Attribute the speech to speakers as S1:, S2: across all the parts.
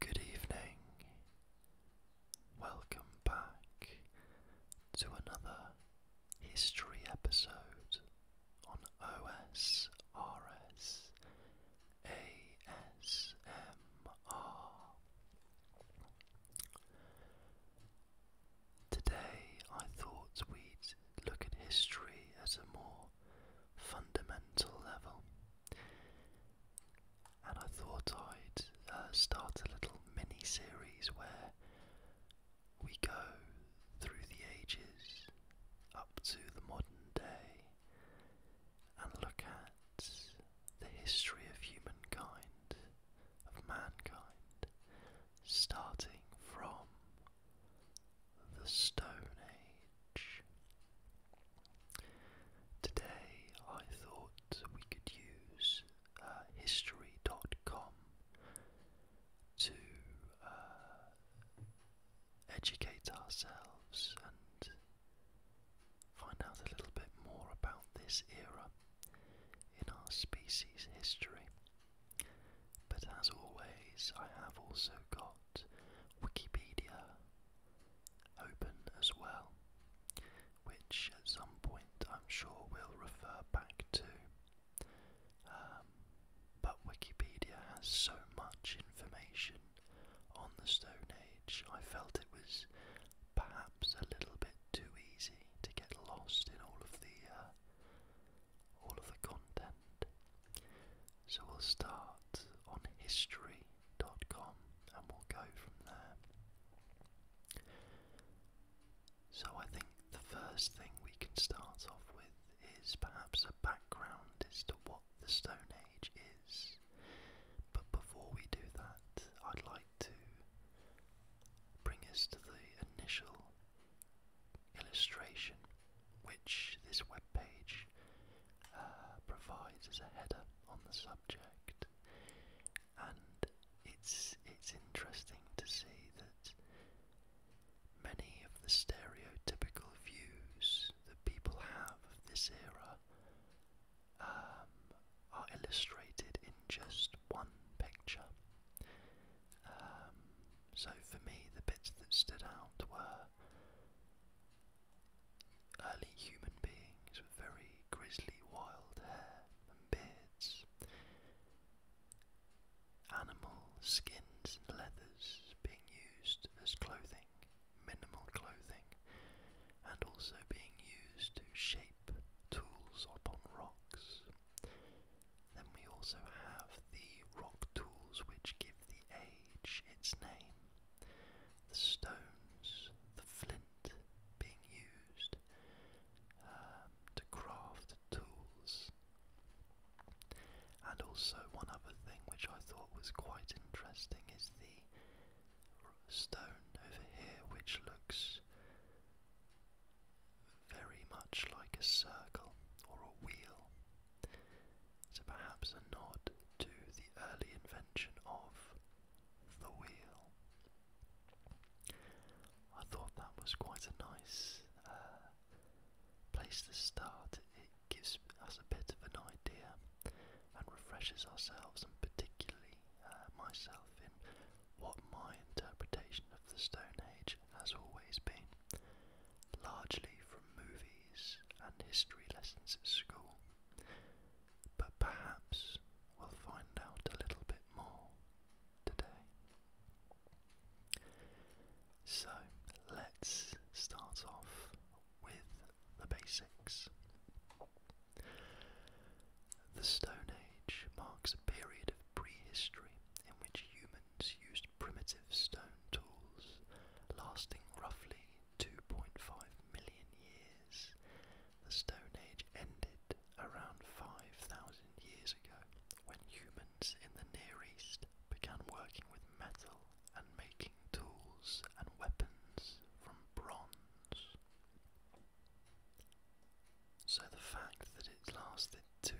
S1: Good evening. Welcome back to another history episode on OSRS ASMR. Today I thought we'd look at history as a more fundamental level. And I thought I'd uh, start a little mini series where we go through the ages up to the modern day and look at the history of humankind, of mankind, starting from the Stone Age. Today I thought we could use uh, history.com to uh, educate ourselves and find out a little bit more about this era in our species history. But as always, I have also got Wikipedia open as well, which at some point I'm sure will refer back to. Um, but Wikipedia has so much information on the Stone Age, I felt it was perhaps a little bit too easy to get lost in all of the uh, all of the content. So we'll start on history.com and we'll go from there. So I think the first thing we can start off with is perhaps a background as to what the Stone Age is. But before we do that, I'd like to bring us to the initial illustration which this web page uh, provides as a header on the subject, and it's it's interesting to see that many of the stereotypical views that people have of this era um, are illustrated in just one picture. Um, so for me, the bits that stood out were Early human beings with very grisly wild hair and beards. Animal skins and leathers being used as clothing, minimal clothing, and also being used to shape tools upon rocks. Then we also have the rock tools which give the age its name, the stones, the flint being used um, to craft tools. And also, one other thing which I thought was quite interesting is the stone over here, which looks very much like a circle or a wheel. So perhaps a nod to the early invention of the wheel. I thought that was quite a nice uh, place to start. It gives us a bit of an idea and refreshes ourselves, and particularly uh, myself, in what my interpretation of the Stone Age has always been largely from movies and history lessons at school, but perhaps we'll find out a little bit more today. So let's start off with the basics. The Stone Age marks a period of prehistory in which humans used primitive stone tools, lasting roughly 2.5 million years. The Stone Age ended around 5,000 years ago when humans in the Near East began working with metal and making tools and weapons from bronze. So the fact that it lasted 2.5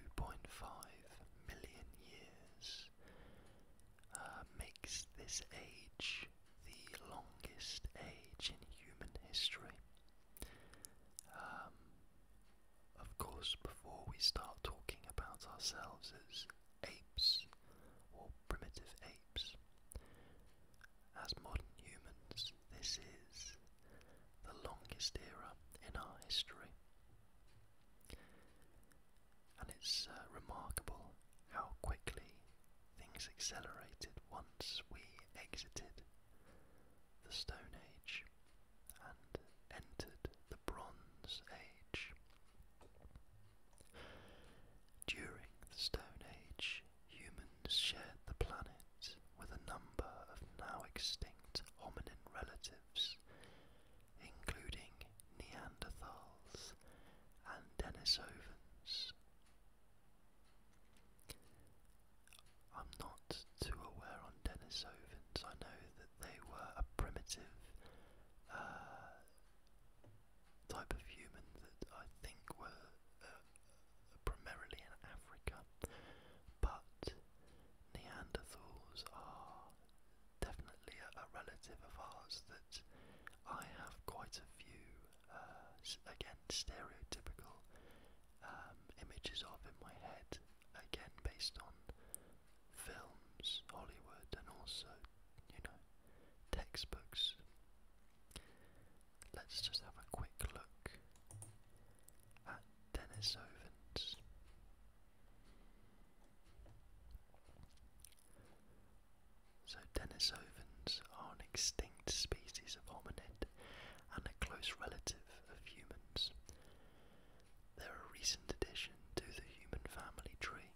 S1: million years uh, makes this age the longest age in human history. Um, of course, before we start talking about ourselves as apes or primitive apes, as modern humans, this is the longest era in our history and it's uh, remarkable how quickly things accelerated once we exited the Stone Age and entered the Bronze Age. During the Stone Age, humans shared the planet with a number of now extinct hominin relatives, including Neanderthals and Denisovans. I'm not too aware on Denisovans. I know that they were a primitive uh, type of human that I think were uh, uh, primarily in Africa, but Neanderthals are definitely a, relative of ours that I have quite a few, uh, again, stereotypical um, images of in my head, again, based on films, Hollywood, and also, you know, textbooks. Let's just have a quick look at Denisovans. So Denisovans are an extinct species of hominid and a close relative of humans. They're a recent addition to the human family tree.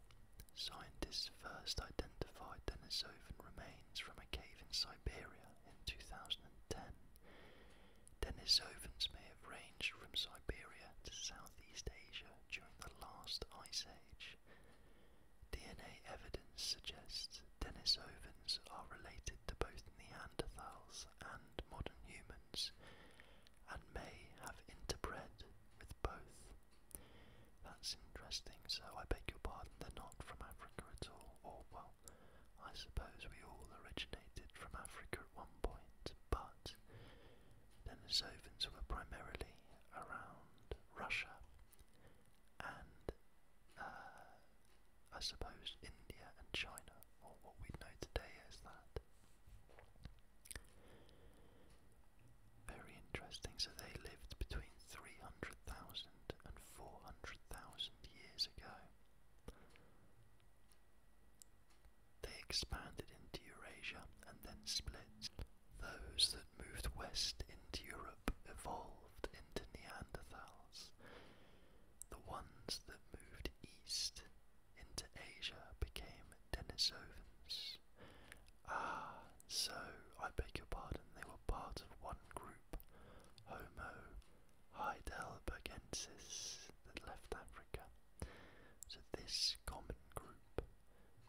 S1: Scientists first identified Denisovan remains from a cave in Siberia in 2010. Denisovans may have ranged from Siberia to South Southeast Asia during the last ice age. DNA evidence suggests Denisovans are related to both Neanderthals and modern humans and may have interbred with both. That's interesting, so I beg your pardon, they're not from Africa at all, or well, I suppose we all originated from Africa at one point, but Denisovans were primarily around Russia and uh, I suppose India and China, what we know today as that. Very interesting. So they lived between 300,000 and 400,000 years ago. They expanded into Eurasia and then split. Those that moved west into Europe evolved into Neanderthals. The ones that moved east into Asia became Denisovans. Ah, so, I beg your pardon, they were part of one group, Homo heidelbergensis, that left Africa. So, this common group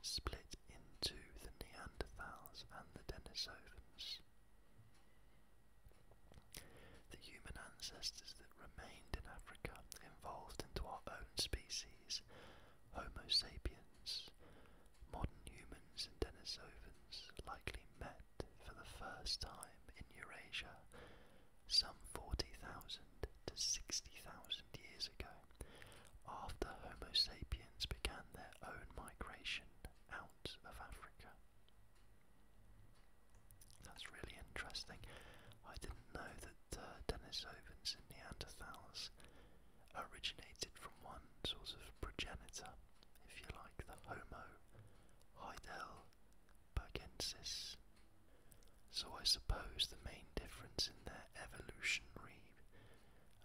S1: split into the Neanderthals and the Denisovans. The human ancestors that remained in Africa evolved into our own species, Homo sapiens. Modern humans and Denisovans likely met for the first time in Eurasia some 40,000 to 60,000 years ago after Homo sapiens began their own migration out of Africa. That's really interesting. I didn't know that uh, Denisovans and Neanderthals originated from one sort of progenitor, if you like, the Homo heidelbergensis so I suppose the main difference in their evolutionary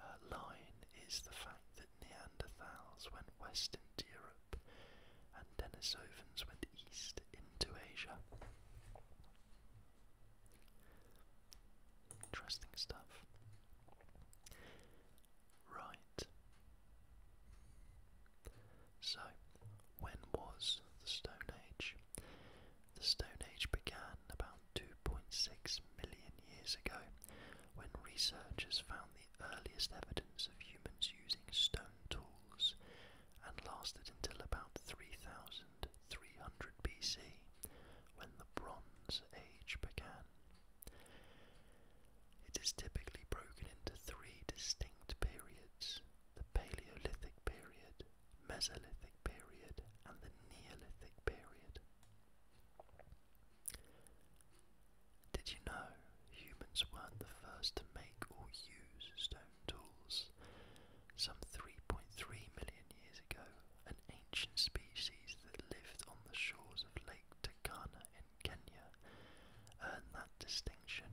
S1: uh, line is the fact that Neanderthals went west into Europe and Denisovans went east into Asia. Interesting stuff. Right. So, when was the Stone Age? The Stone Age began about 2.6 million years ago when researchers found the earliest evidence of humans using stone tools and lasted until about 3300 BC when the Bronze Age began. It is typically broken into three distinct periods the Paleolithic period, Mesolithic period and the Neolithic period. Did you know humans weren't the first to make or use stone tools? Some 3.3 million years ago, an ancient species that lived on the shores of Lake Turkana in Kenya earned that distinction.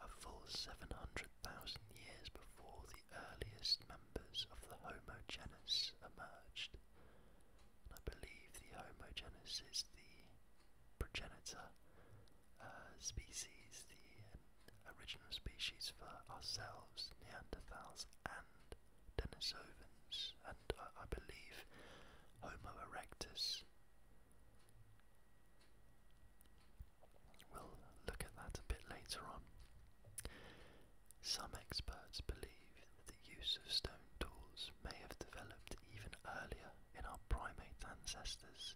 S1: A full 700 thousand years before the earliest members of the Homo genus emerged. And I believe the Homo genus is the progenitor uh, species, the original species for ourselves, Neanderthals, and Denisovans, and I believe Homo erectus. We'll look at that a bit later on. Some experts believe that the use of stone tools may have developed even earlier in our primate ancestors,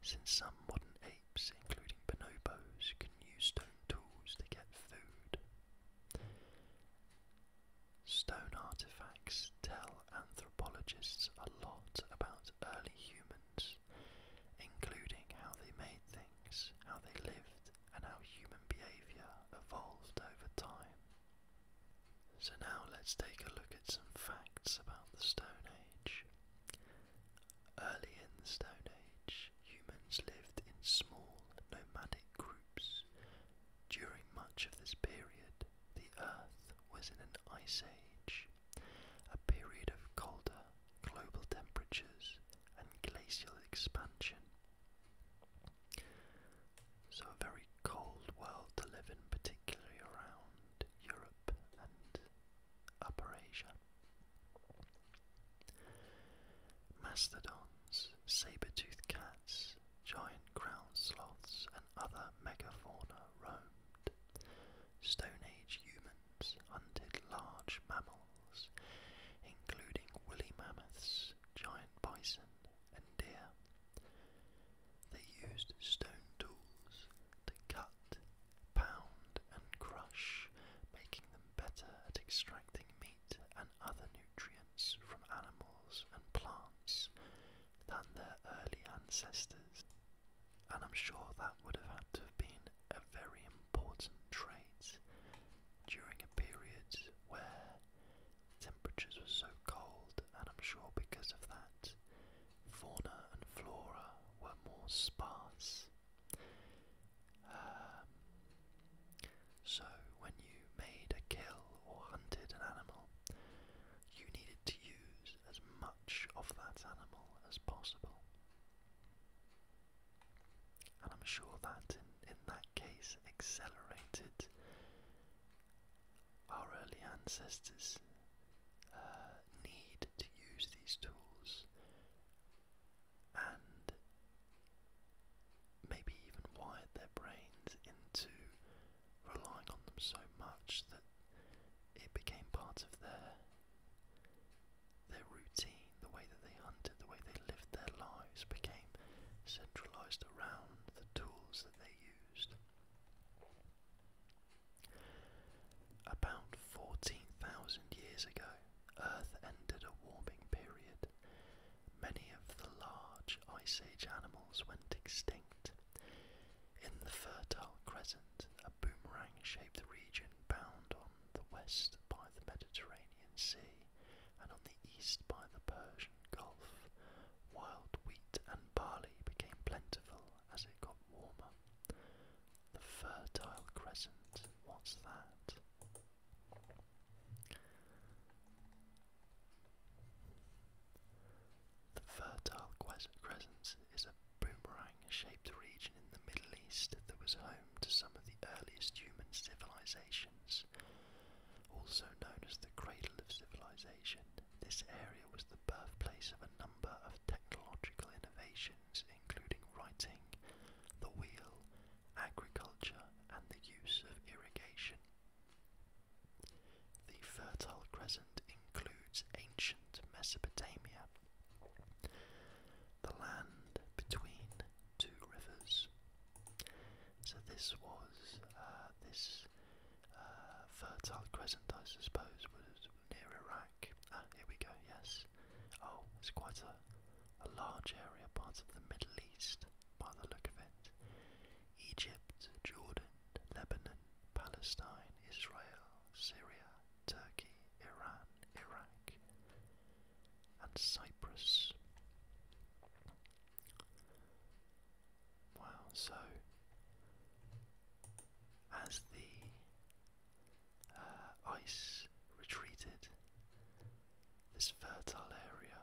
S1: since some modern apes, including bonobos, can use stone tools to get food. Stone artifacts tell anthropologists a lot about early humans including how they made things, how they lived, and how human behaviour evolved over time. So now let's take a look at some facts about the Stone Age. Early in the Stone Age, humans lived in small nomadic groups. During much of this period, the Earth was in an ice age, a period of colder global temperatures and glacial expansion. So, a very cold world to live in, particularly around Europe and Upper Asia. Mastodons, saber toothed cats, giant ground sloths, and other megafauna roamed. Stone Age humans hunted large mammals, including woolly mammoths, giant bison, and deer. They used stone tools to cut, pound, and crush, making them better at extracting meat and other nutrients from animals and plants than their early ancestors and I'm sure that would have had to have been a very important trait during a period where temperatures were so cold, and I'm sure because of that, fauna and flora were more sparse. Um, so, when you made a kill or hunted an animal, you needed to use as much of that animal as possible. And I'm sure that in, in that case accelerated our early ancestors' uh, need to use these tools and maybe even wired their brains into relying on them so much that it became part of their their routine, the way that they hunted, the way they lived their lives became centralized around the tools that they used. About 14,000 years ago, Earth entered a warming period. Many of the large Ice Age animals went extinct. In the Fertile Crescent, a boomerang shaped region bound the west by the Mediterranean Sea and on the east by the Persian Gulf, wild wheat and barley became plentiful as it got warmer. The Fertile Crescent, what's that? The Fertile Crescent is a boomerang Orang shaped region in the Middle East that was home to some of the earliest human civilizations. Also known as the cradle of civilization, this area was the birthplace of a number of technological innovations, including writing, the wheel, agriculture, and the use of irrigation. The Fertile Crescent includes ancient Mesopotamia, the land between two rivers. So this was uh, this uh, fertile crescent, I suppose, was near Iraq. Ah, here we go. Yes. Oh, it's quite a, a large area, part of the Middle East, by the look of it. Egypt, Jordan, Lebanon, Palestine, Israel, Syria, Turkey, Iran, Iraq, and Cyprus. Wow, so as the uh, ice retreated, this fertile area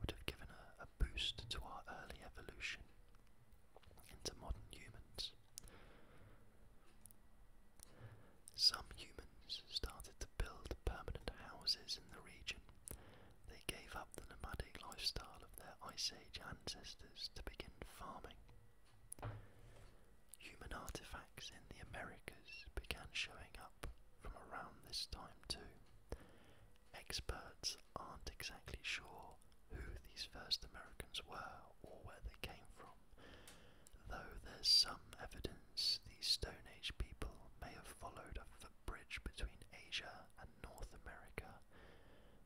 S1: would have given a boost to our early evolution into modern humans. Some humans started to build permanent houses in the region. They gave up the nomadic lifestyle of their Ice Age ancestors to begin farming. Human artifacts in the Americas began showing up from around this time too. Experts aren't exactly sure who these first Americans were or where they came from though there's some evidence these Stone Age people may have followed a footbridge between Asia and North America,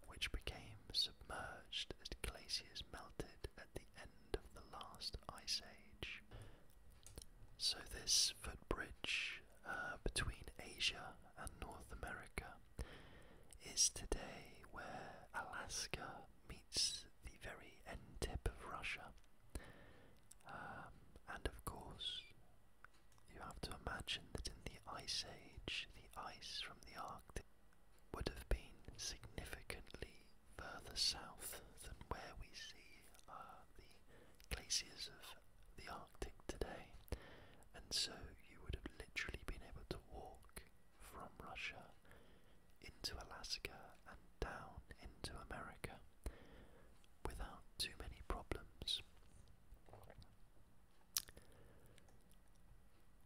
S1: which became submerged as glaciers melted at the end of the last Ice Age. So, this footbridge uh, between Asia and North America is today where Alaska meets the very end tip of Russia. Um, and of course, you have to imagine that in the Ice Age, the ice from the Arctic would have been significantly further south than where we see uh, the glaciers of the Arctic today. And so you would have literally been able to walk from Russia into Alaska and down into America without too many problems.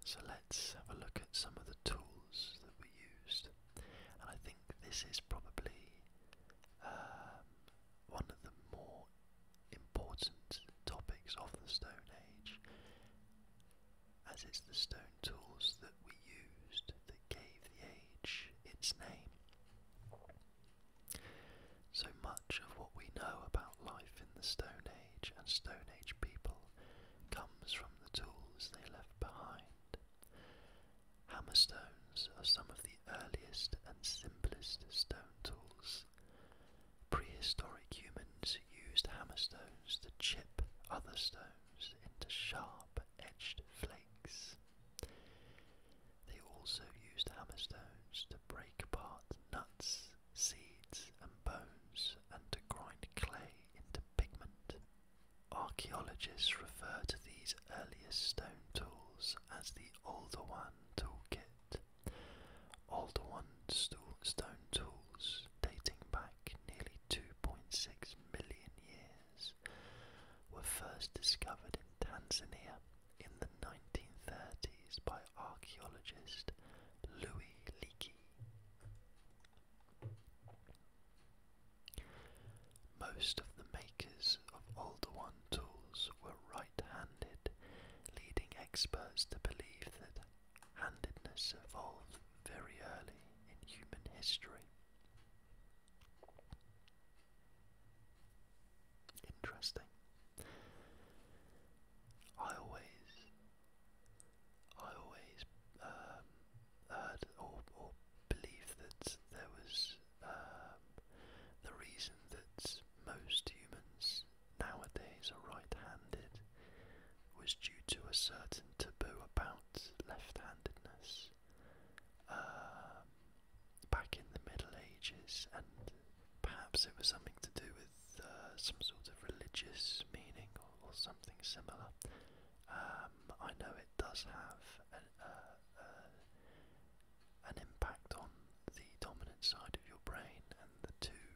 S1: So let's have a look at some of the tools that we used, and I think this is probably um, one of the more important topics of the Stone Age as it's the stone tools that we used that gave the age its name. So much of what we know about life in the Stone Age and Stone Age people comes from the tools they left behind. Hammerstones are some of the earliest and simplest stone tools. Prehistoric humans used hammerstones to chip other stones into sharp edged flakes. They also used hammerstones to break apart nuts, seeds, and bones, and to grind clay into pigment. Archaeologists refer to these earliest stone tools as the Oldowan toolkit. Oldowan stone tools dating back nearly 2.6 million years, were first discovered in Tanzania in the 1930s by archaeologist Louis Leakey. Most of the makers of Older One tools were right handed, leading experts to believe that handedness evolved very early in human history. Interesting. I always, I always um, or, or believed that there was um, the reason that most humans nowadays are right-handed was due to a certain taboo about left-handedness um, back in the Middle Ages, and perhaps it was something to do with uh, some sort of religious meaning or, something similar. Um, I know it does have uh, uh, an, impact on the dominant side of your brain, and the two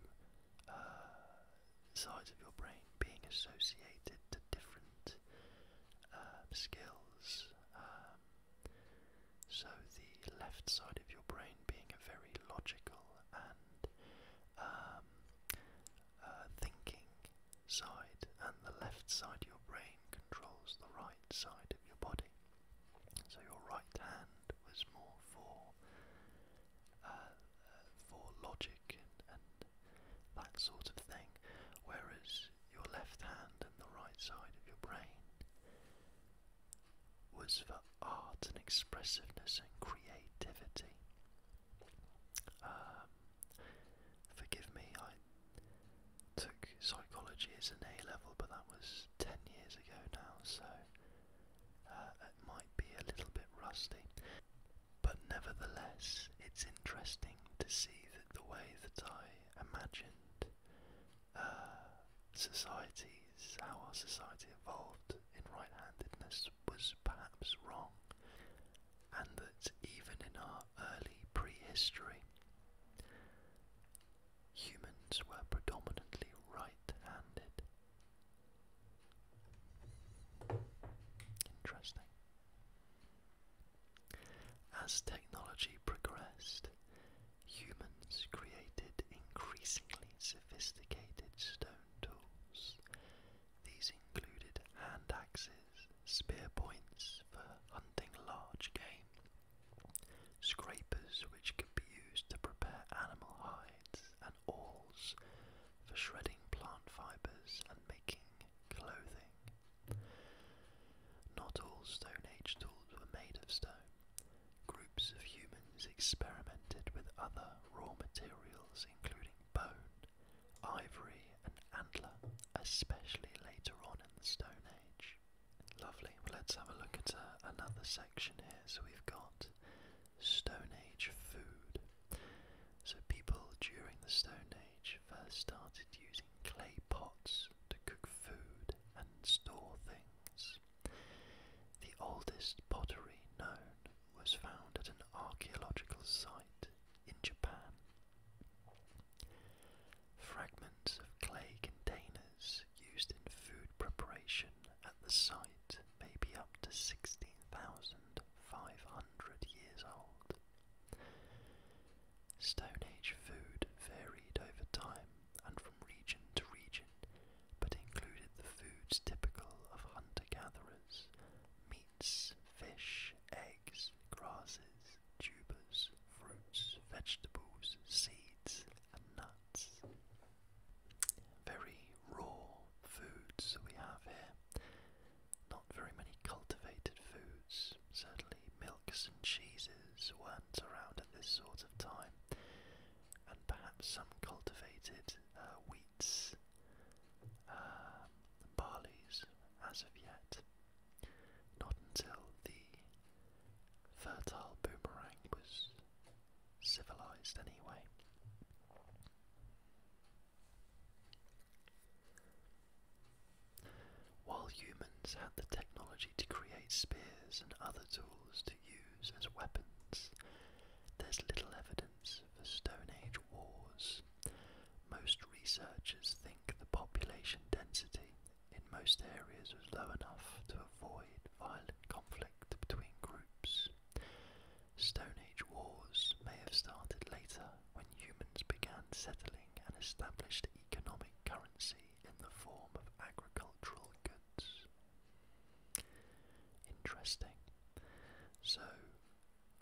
S1: sides of your brain being associated to different um, skills. Um, so the left side of your brain being a very logical and um, uh, thinking side, and the left side of your brain controls the right side of your body. So your right hand was more for uh, uh, for logic and that sort of thing. Whereas your left hand and the right side of your brain was for art and expressiveness and creativity. Um, forgive me, I took psychology as an A level, but that was 10 years ago now, so uh, it might be a little bit rusty. But nevertheless, it's interesting to see that the way that I imagined uh, societies, how our society evolved in right handedness, was perhaps wrong, and that even in our early prehistory, humans were predominantly right handed. Interesting. As technology progressed, humans created increasingly sophisticated stone tools. These included hand axes, spear points for hunting large game, scrapers which could be used to prepare animal hides, and awls for shredding plant fibers and making clothing. Not all Stone Age tools were made of stone. Groups of humans experimented with other raw materials, including bone, ivory, and antler, especially later on in the Stone Age. Lovely. let's have a look at uh, another section here. So we've got Stone Age food. So people during the Stone Age first started using clay pots to cook food and store things. The oldest pottery known was found at an archaeological site in Japan. Fragments of clay containers used in food preparation at the site may be up to 16,500 years old. Stone Age food varied over time and from region to region, but included the foods typical of hunter gatherers meats, fish, eggs, grasses, tubers, fruits, vegetables, seeds, and nuts. Very raw foods we have here. Not very many cultivated foods, certainly milks and cheeses weren't around at this sort of time, and perhaps some cultivated uh, wheats, uh, barleys as of yet. Not until the fertile boomerang was civilized, anyway. While humans had the technology to create spears and other tools to use as weapons, there's little evidence for Stone Age wars. Most researchers think the population density in most areas was low enough to avoid violent conflict between groups. Stone Age wars may have started later when humans began settling and established economic currency in the form of agricultural goods. Interesting. So,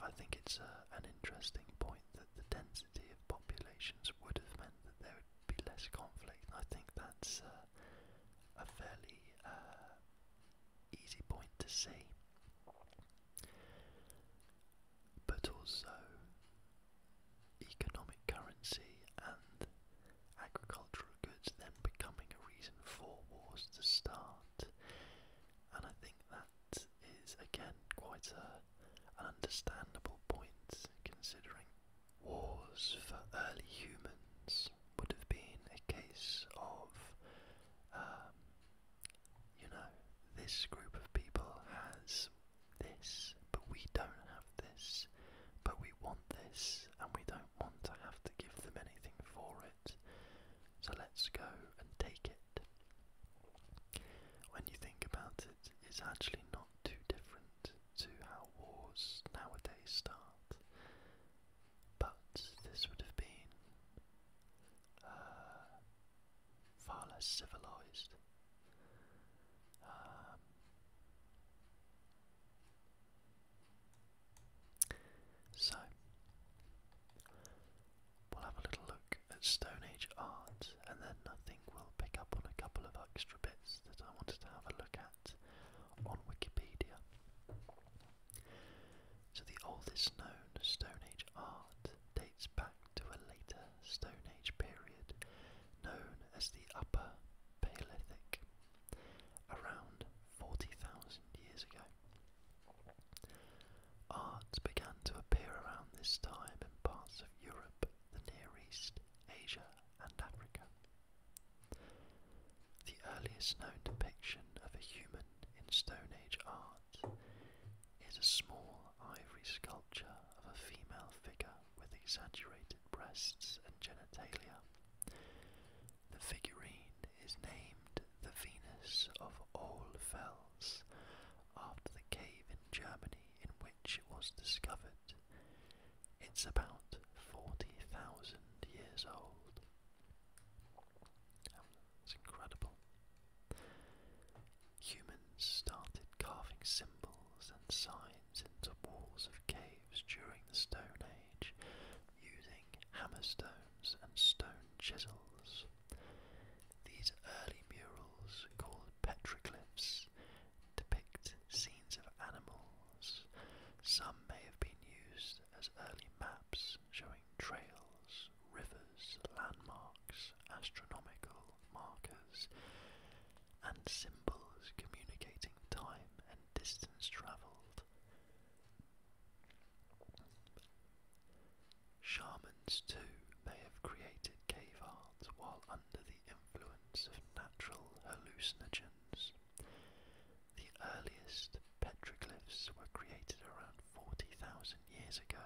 S1: I think it's uh, an interesting point that the density of populations would have meant that there would be less conflict. I think that's uh, a fairly uh, easy point to see but also economic currency and agricultural goods then becoming a reason for wars to start. And I think that is again quite a, understandable point considering wars for early humans would have been a case of um, you know, this group of people has this, but we don't have this, but we want this, and we don't want to have to give them anything for it. So let's go and take it. When you think about it, it's actually not too different to how wars nowadays start. But this would have been uh, far less civilized. Um, so, we'll have a little look at Stone Age art, and then I think we'll pick up on a couple of extra bits that I wanted to have a look at on Wikipedia. So, the oldest known Stone Age art back to a later Stone Age period known as the Upper Paleolithic, around 40,000 years ago. Art began to appear around this time in parts of Europe, the Near East, Asia, and Africa. The earliest known depiction of a human in Stone Age art hut is a small ivory sculpture of a female figure with exaggerated breasts and genitalia. The figurine is named the Venus of Ohlfels after the cave in Germany in which it was discovered. It's about 40,000 years old. Um, it's incredible. Humans started carving symbols and signs into walls of caves during the Stone Age using hammerstones and stone chisels. These early murals, called petroglyphs, depict scenes of animals. Some may have been used as early maps showing trails rivers, landmarks, astronomical markers, and symbols communicating time and distance travelled. Shamans, too, may have created cave art while under the influence of natural hallucinogens. The earliest petroglyphs were created around 40,000 years ago.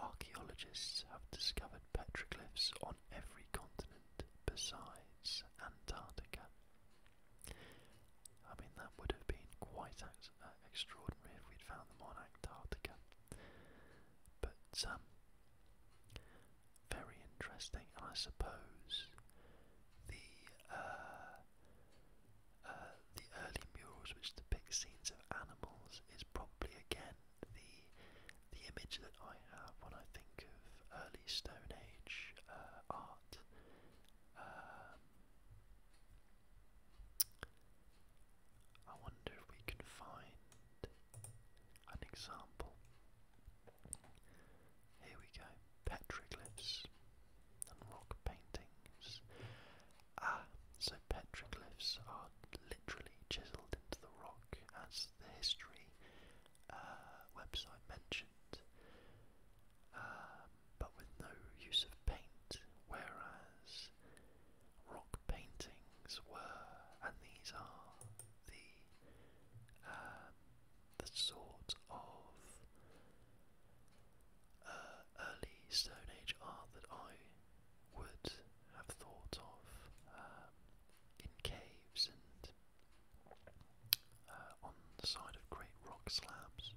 S1: Archaeologists have discovered petroglyphs on every continent besides Antarctica. I mean, that would have been quite uh, extraordinary if we'd found them on Antarctica. But, um, very interesting, I suppose the uh, uh, the early murals which depict scenes of animals is probably again the the image that I have when I think of early Stone Age uh, art. Um, I wonder if we can find an example. Here we go petroglyphs and rock paintings. Ah, so petroglyphs are literally chiseled into the rock, as the history uh, website mentioned, um, but with no use of paint, whereas rock paintings were, and these are the um, the sort of uh, early Stone Age art that I would have thought of um, in caves and uh, on the side of great rock slabs.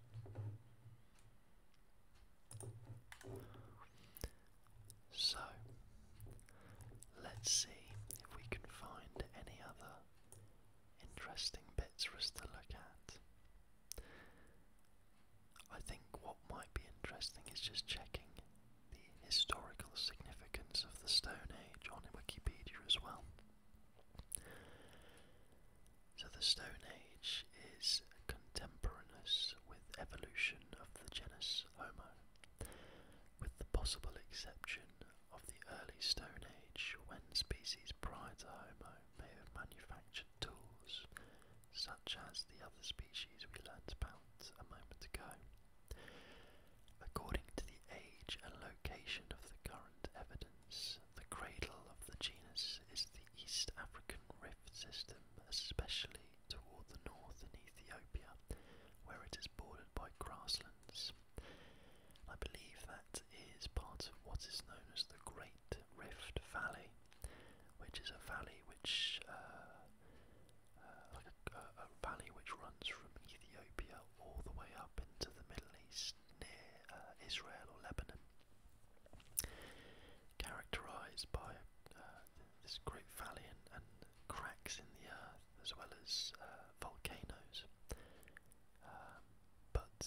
S1: So, let's see if we can find any other interesting bits for us to look at. I think what might be interesting is just checking the historical significance of the Stone Age on Wikipedia as well. So, the Stone Age is contemporaneous with evolution of the genus Homo, with the possible exception of the early Stone Age when species prior to Homo may have manufactured tools, such as the other species we learned about a moment ago. According to the age and location of the current evidence, the cradle of the genus is the East African rift system, especially toward the north in Ethiopia, where it is bordered by grasslands. I believe that is part of what is known as the Great Rift Valley, which is a valley which uh, uh, like a, valley which runs from Ethiopia all the way up into the Middle East near uh, Israel or Lebanon, characterized by this great valley and, cracks in the earth as well as volcanoes. Um, but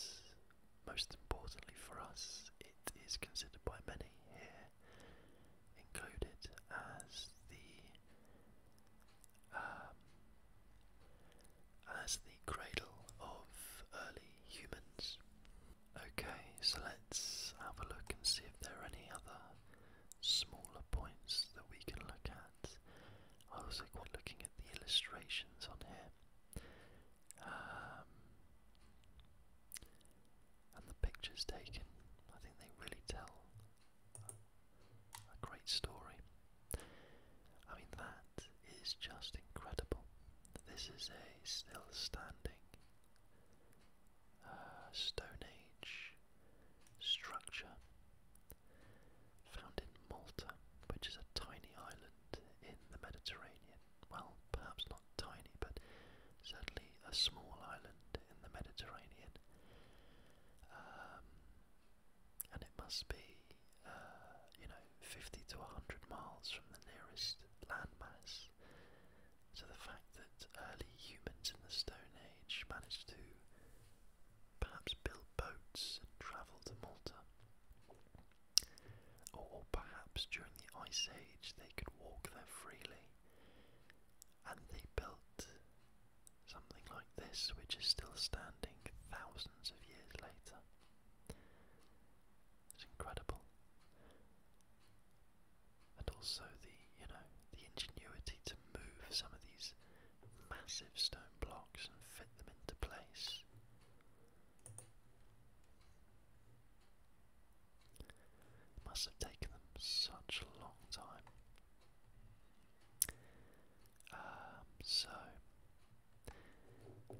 S1: most importantly for us, it is considered by many here included as the um, as the cradle of early humans. Okay, so let's have a look and see if there are any other smaller points that we can look at. I was quite looking at the illustrations on here. Um, and the pictures taken, I think they really tell a great story. I mean, that is just incredible. This is a still standing uh, Stone Age structure found in Malta, which is a tiny island in the Mediterranean well, perhaps not tiny, but certainly a small island in the Mediterranean. Um, and it must be, uh, you know, 50 to 100 miles from the nearest landmass. So the fact that early humans in the Stone Age managed to perhaps build boats and travel to Malta or perhaps during the Ice Age they could walk there freely. And they built something like this, which is still standing thousands of years later. It's incredible. And also the, you know, the ingenuity to move some of these massive stone blocks and fit them into place must have taken them such a long time. Um, so,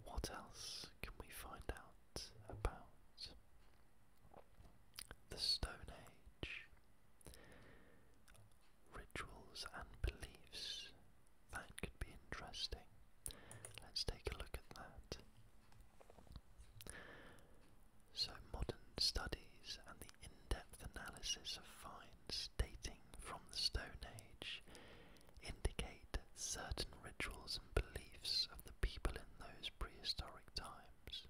S1: what else can we find out about the Stone Age? Rituals and beliefs. That could be interesting. Let's take a look at that. So, modern studies and the in depth analysis of finds dating from the Stone Age indicate certain rituals and beliefs of the people in those prehistoric times.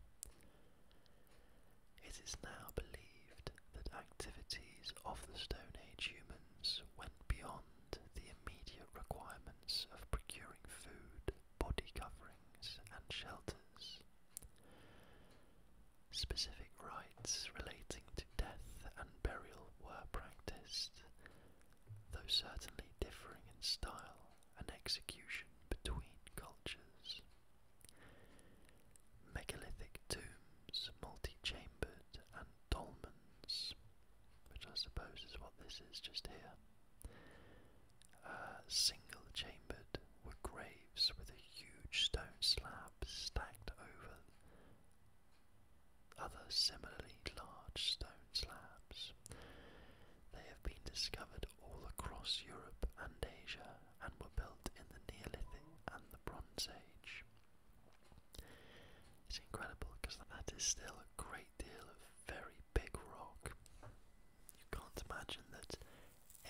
S1: It is now believed that activities of the Stone Age humans went beyond the immediate requirement of procuring food, body coverings, and shelters. Specific rites relating to death and burial were practiced, though certainly differing in style and execution between cultures. Megalithic tombs, multi chambered, and dolmens which I suppose is what this is just here. Uh, single chambered were graves with a huge stone slab stacked over other similarly large stone slabs. They have been discovered all across Europe and Asia and were built in the Neolithic and the Bronze Age. It's incredible because that is still a great deal of very big rock. You can't imagine that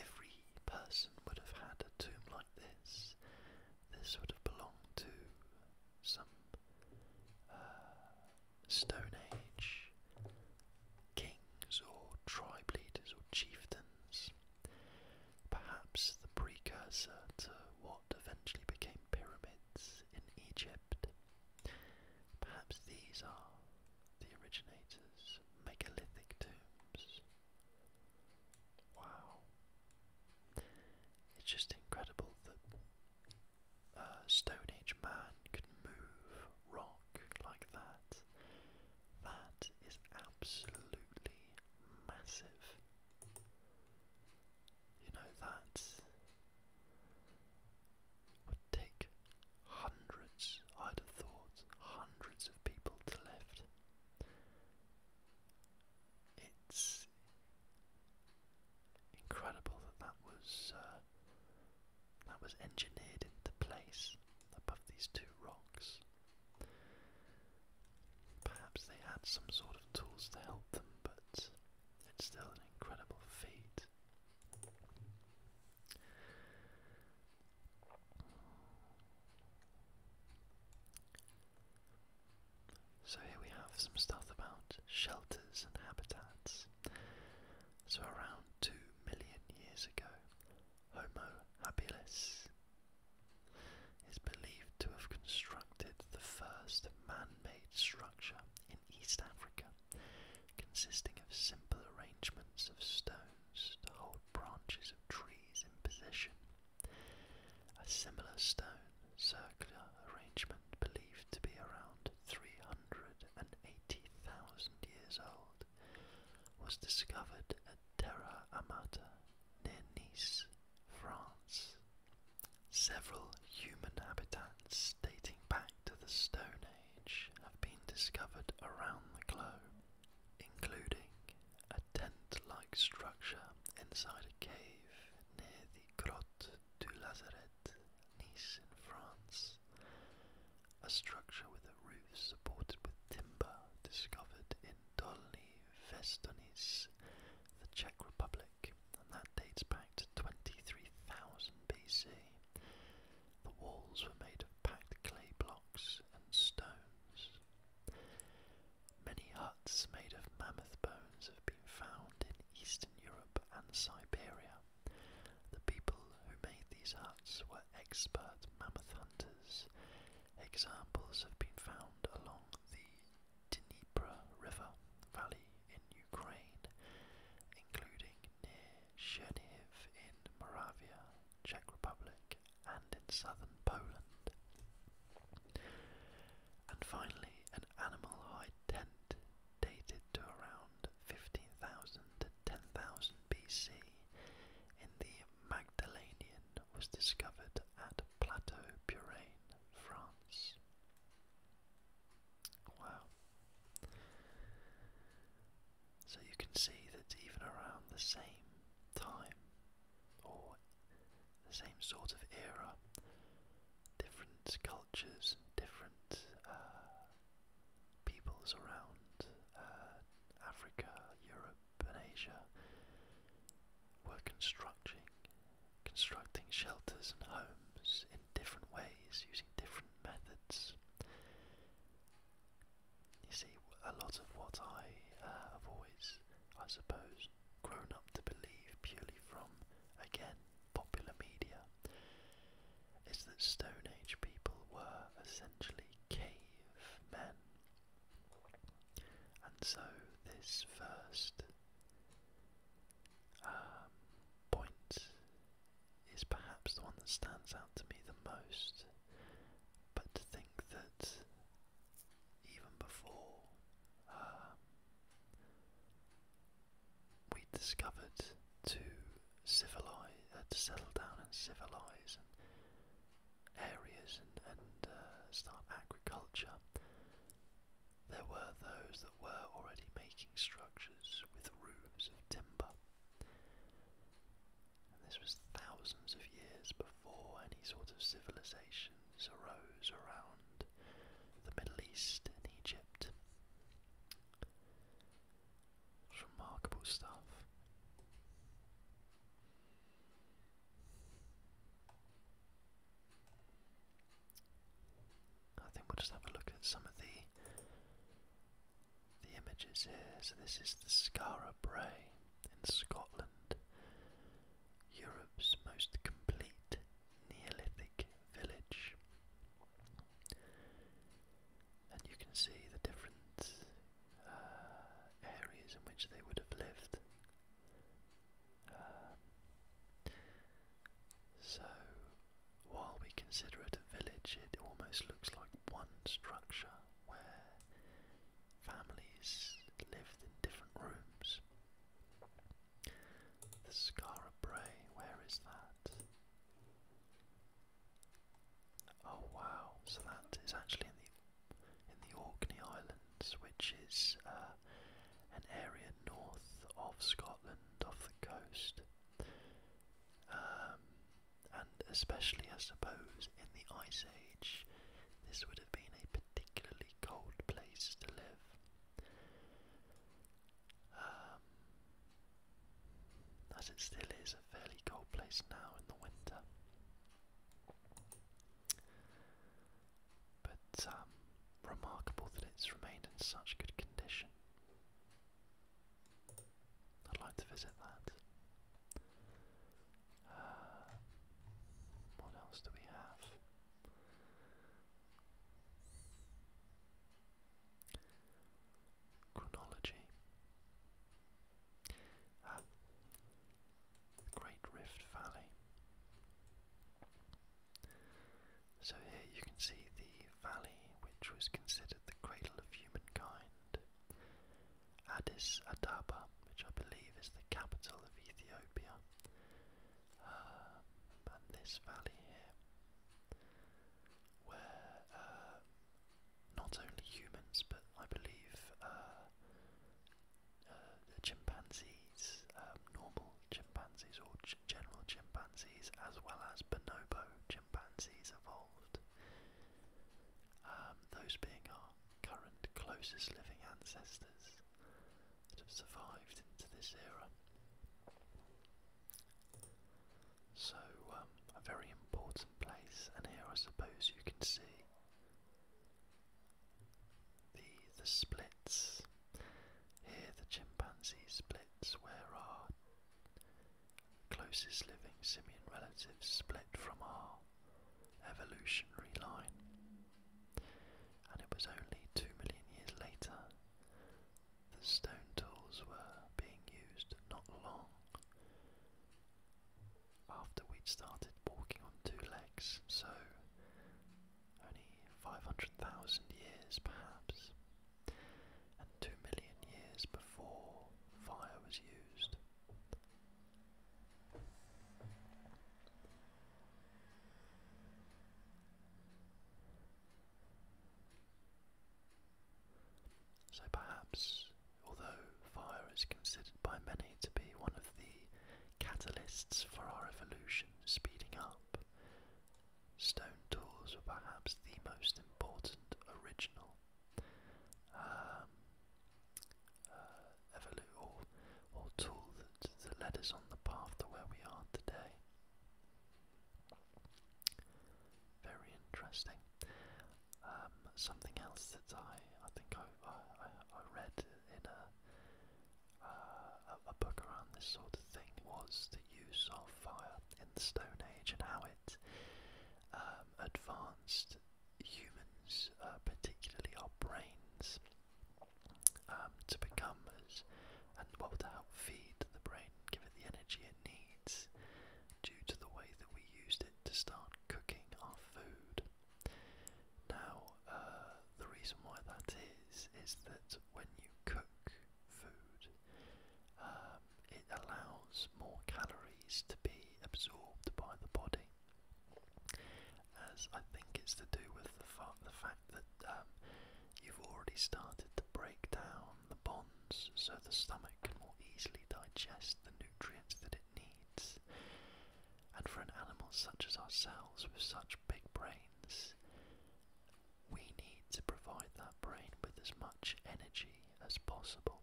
S1: every person would have had a tomb like this. This would have belonged to some uh, Stone Age kings or tribe leaders or chieftains. Perhaps the precursor to what eventually became pyramids in Egypt. Perhaps these are the originators megalithic tombs. Wow. It's just incredible that a Stone Age man could move rock like that. That is absolutely massive. You know, that would take hundreds, I'd have thought, hundreds of people to lift. It's incredible that that was uh, that was engineered into place above these two rocks. Perhaps they had some sort of tools to help them, but it's still an incredible feat. So, here we have some stuff about shelters and habitats. So, around 2 million years ago, Homo habilis is believed to have constructed the first man made structure in East Africa, consisting of simple arrangements of stones to hold branches of trees in position. A similar stone circular arrangement believed to be around 380,000 years old was discovered at Terra Amata near Nice, France Several human habitats dating back to the Stone Age have been discovered around the globe, including a tent like structure inside a cave near the Grotte du Lazaret, Nice, in France, a structure with a roof supported with timber discovered in Dolny Vestonice, the Czech Republic and that dates back to 23,000 BC. The walls were made of packed clay blocks and stones. Many huts made of mammoth bones have been found in Eastern Europe and Siberia. The people who made these huts were expert mammoth hunters. Examples have been found along the Dnieper River valley in Ukraine, including near Chernihiv in Moravia, Czech Republic, and in southern Poland. And finally, an animal hide tent dated to around 15,000 to 10,000 BC in the Magdalenian was discovered at Plateau Purane, France. Wow. So you can see that even around the same time or the same sort of era, different cultures, different uh, peoples around uh, Africa, Europe, and Asia were constructing constructing shelters and homes in different ways using different methods. You see, a lot of what I uh, have always, I suppose, grown up to believe purely from, again, popular media, is that Stone Age people were essentially cave men. And so this first um, point is perhaps the one that stands out to me the most. But to think that even before um, we discovered to civilize, uh, to settle down and civilize and areas and, uh, start agriculture, there were those that were already making structures with roofs of timber. And this was thousands of years before any sort of civilizations arose around the Middle East and Egypt. remarkable stuff. I think we'll just have a look at some of the the images here. So this is the Skara Brae in Scotland, Europe's most complete Neolithic village. And you can see the different uh, areas in which they would have lived. Um, so while we consider it a village, it almost looks like one structure where families lived in different rooms. The Scara where is that? Oh wow, so that is actually in the in the Orkney Islands, which is uh, an area north of Scotland off the coast, um, and especially, I suppose, in the Ice Age, this would have been a particularly cold place to live. Um, as it still is a fairly cold place now in the winter. But um, remarkable that it's remained in such good condition. I'd like to visit that. Uh, what else do we have? Chronology. Ah, Great Rift Valley. So here you can see the valley which was considered the cradle of humankind. Addis Ababa, which I believe is the capital of Ethiopia, um, and this valley here, where uh, not only humans but I believe uh, uh, the chimpanzees, um, normal chimpanzees or ch general chimpanzees as well as bonobo chimpanzees evolved. Um, those being our current closest living ancestors that have survived into this era. So, um, a very important place, and here I suppose you can see the the splits here the chimpanzee splits where our closest living simian relatives split from our evolutionary line. And it was only two million years later the stone tools were being used not long after we'd started walking on two legs, so only 500,000 years perhaps, and 2 million years before fire was used. So perhaps, although fire is considered by many to be one of the catalysts for our evolution speeding up, Stone tools were perhaps the most important original um, uh, or, tool that, led us on the path to where we are today. Very interesting. Um, something else that I, I think I, I, read in a, uh, a, book around this sort of thing was the use of fire in the Stone Age and how it um, advanced humans, uh, particularly our brains, um, to become as and what to help feed the brain, give it the energy it needs, due to the way that we used it to start cooking our food. Now, uh, the reason why that is is that when you cook food, um, it allows more calories to be absorbed by the body, as I think it's to do with the, fact that um, you've already started to break down the bonds so the stomach can more easily digest the nutrients that it needs. And for an animal such as ourselves with such big brains, we need to provide that brain with as much energy as possible.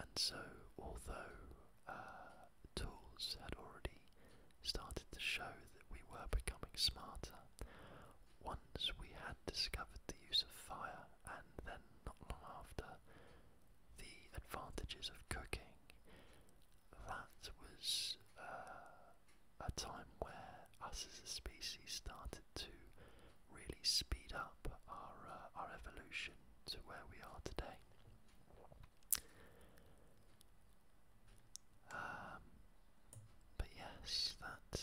S1: And so, although uh, tools had already started to show that we were becoming smarter, once we had discovered the use of fire, and then not long after, the advantages of cooking, that was uh, a time where us as a species started to really speed up our uh, our evolution to where we are today. Um, but yes, that.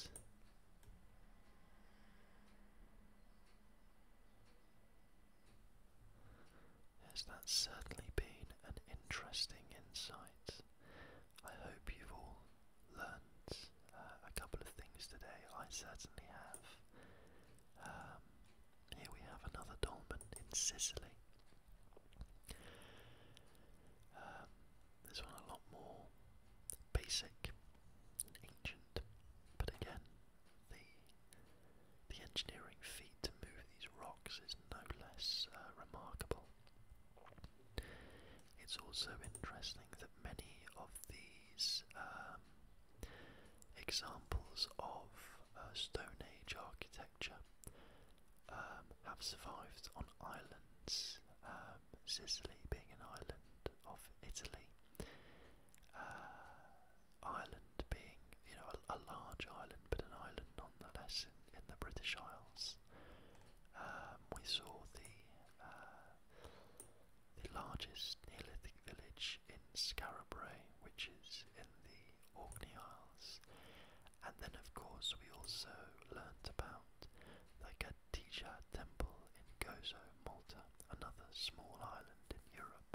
S1: Yes, that's certainly been an interesting insight. I hope you've all learned uh, a couple of things today. I certainly have. Um, here we have another dolmen in Sicily. Um, one a lot more basic ancient, but again, the the engineering feat to move these rocks is no less uh, remarkable. It's also interesting that many of these um, examples of uh, Stone Age architecture um, have survived on islands, um, Sicily being an island of Italy, uh, Ireland being you know a, large island but an island nonetheless in the British Isles. Um, we saw the uh, the largest Neolithic village in Scarabray, which is in the Orkney Isles, and then of course we also learnt about the Kadija Temple in Gozo, Malta, another small island in Europe.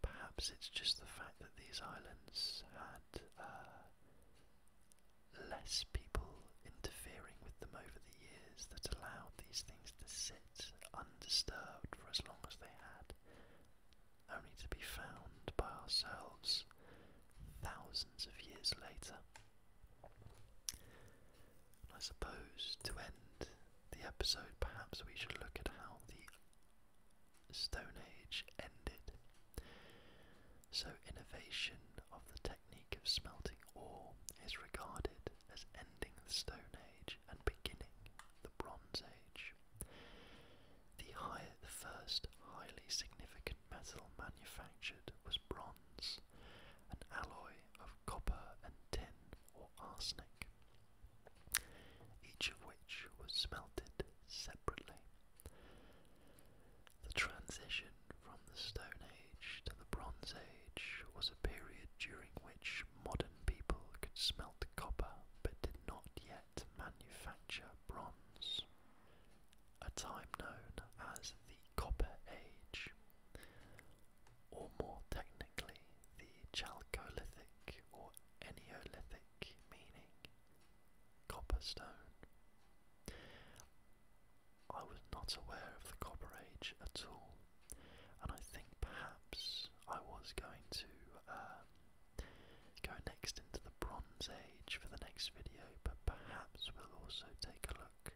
S1: Perhaps it's just the fact that these islands had uh, less people interfering with them over the years that allowed these things to sit undisturbed for as long as they had, only to be found by ourselves thousands of years later. I suppose to end the episode, perhaps we should look at how the Stone Age ended. So, innovation of the technique of smelting ore is regarded as ending the Stone Age and beginning the Bronze Age. The, first highly significant metal manufactured was bronze, an alloy of copper and tin or arsenic, each of which was smelted separately. The transition from the Stone Age to the Bronze Age was a period during which modern people could smelt copper but did not yet manufacture bronze. A time known as the Copper Age, or more technically, the Chalcolithic or Eneolithic, meaning copper stone. I was not aware of the Copper Age at all, and I think perhaps I was going to um, go next into the Bronze Age for the next video, but perhaps we'll also take a look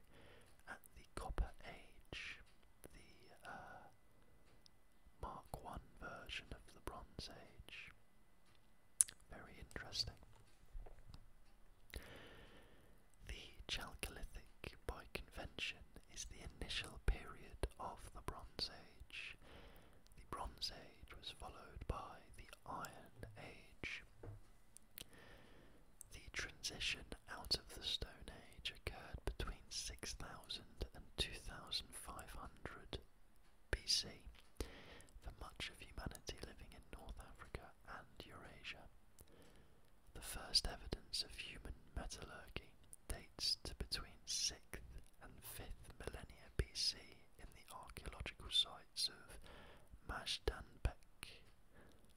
S1: at the Copper Age, the uh, Mark 1 version of the Bronze Age. Very interesting. The Chalcolithic, by convention, is the initial period of the Bronze Age. The Bronze Age was followed by the Iron Age. The transition out of the Stone Age occurred between 6000 and 2500 BC for much of humanity living in North Africa and Eurasia. The first evidence of human metallurgy dates to between 6th and 5th millennia BC in the archaeological sites of Majdanpek,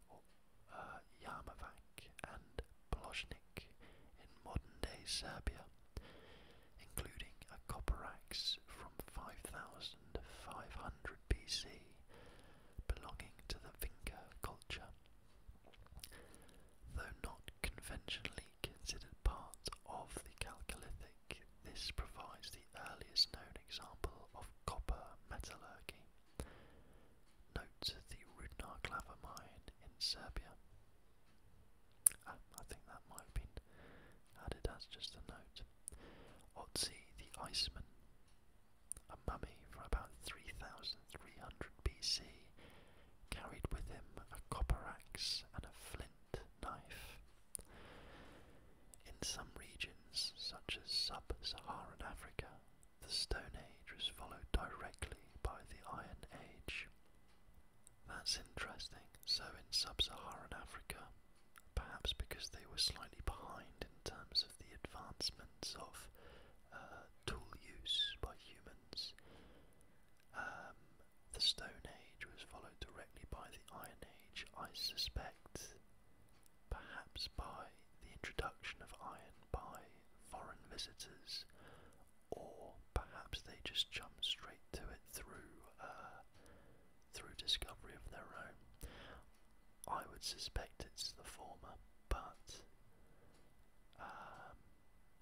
S1: or, uh, and Ploznik in modern day Serbia, including a copper axe from 5,000 500 BC, belonging to the Vinca culture. Though not conventionally considered part of the Chalcolithic, this provides the earliest known example of copper metallurgy. Note the Rudnar Clava mine in Serbia. Ah, I think that might have been added as just a note. Otzi the Iceman, a mummy from about 3300 BC, carried with him a copper axe and a flint knife. In some regions, such as sub Saharan Africa, the Stone Age was followed directly by the Iron Age. That's interesting. So, in sub Saharan Africa, perhaps because they were slightly behind in terms of the advancements of uh, tool use by humans. Um, the Stone Age was followed directly by the Iron Age, I suspect, perhaps by the introduction of iron by foreign visitors, or perhaps they just jumped straight to it through uh, through discovery of their own. I would suspect it's the former, but um,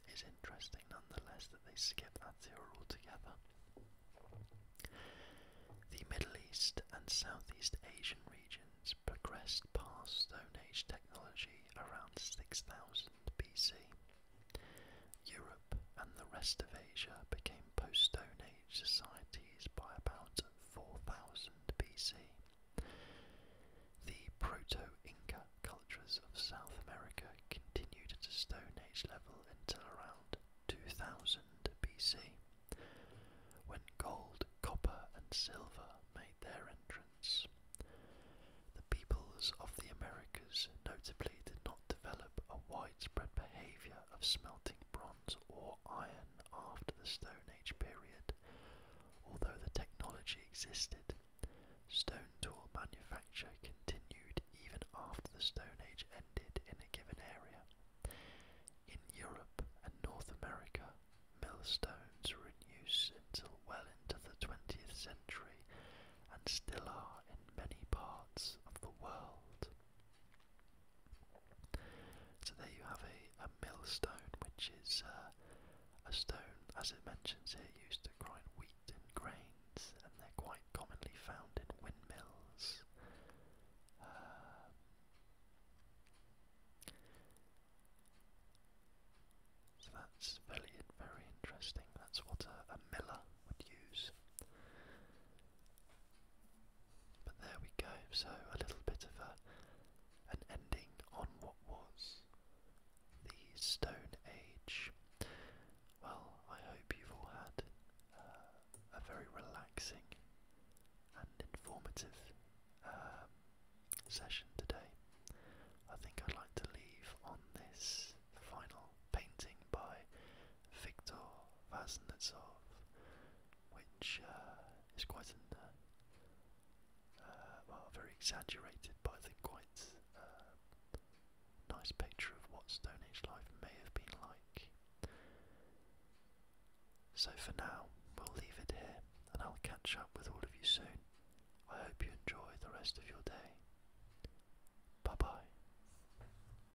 S1: it's interesting nonetheless that they skip that theory altogether. The Middle East and Southeast Asian regions progressed past Stone Age technology around 6000 BC. Europe and the rest of Asia became post Stone societies by about 4000 BC. The Proto-Inca cultures of South America continued at a Stone Age level until around 2000 BC, when gold, copper and silver made their entrance. The peoples of the Americas notably did not develop a widespread behaviour of smelting bronze or iron after the Stone Age period. Although the technology existed, stone tool manufacture continued even after the Stone Age ended in a given area. In Europe and North America, millstones were in use until well into the 20th century and still are in many parts of the world. So there you have a, a millstone, which is uh, a stone, as it mentions here, used to grind wheat and grains, and they're quite commonly found in windmills. Um, so that's very, very interesting. That's what a miller would use. But there we go, so a little bit of a, an ending on what was the Stone Age. Well, I hope you've all had uh, a very relaxing and informative um, session today. I think I'd like to leave on this final painting by Victor Vaznetsov, which uh, is quite an, uh, uh, well, very exaggerated, but I quite nice picture of what Stone Age life may have been like. So for now, we'll leave it here, and I'll catch up with all of you soon. I hope you enjoy the rest of your day. Bye bye.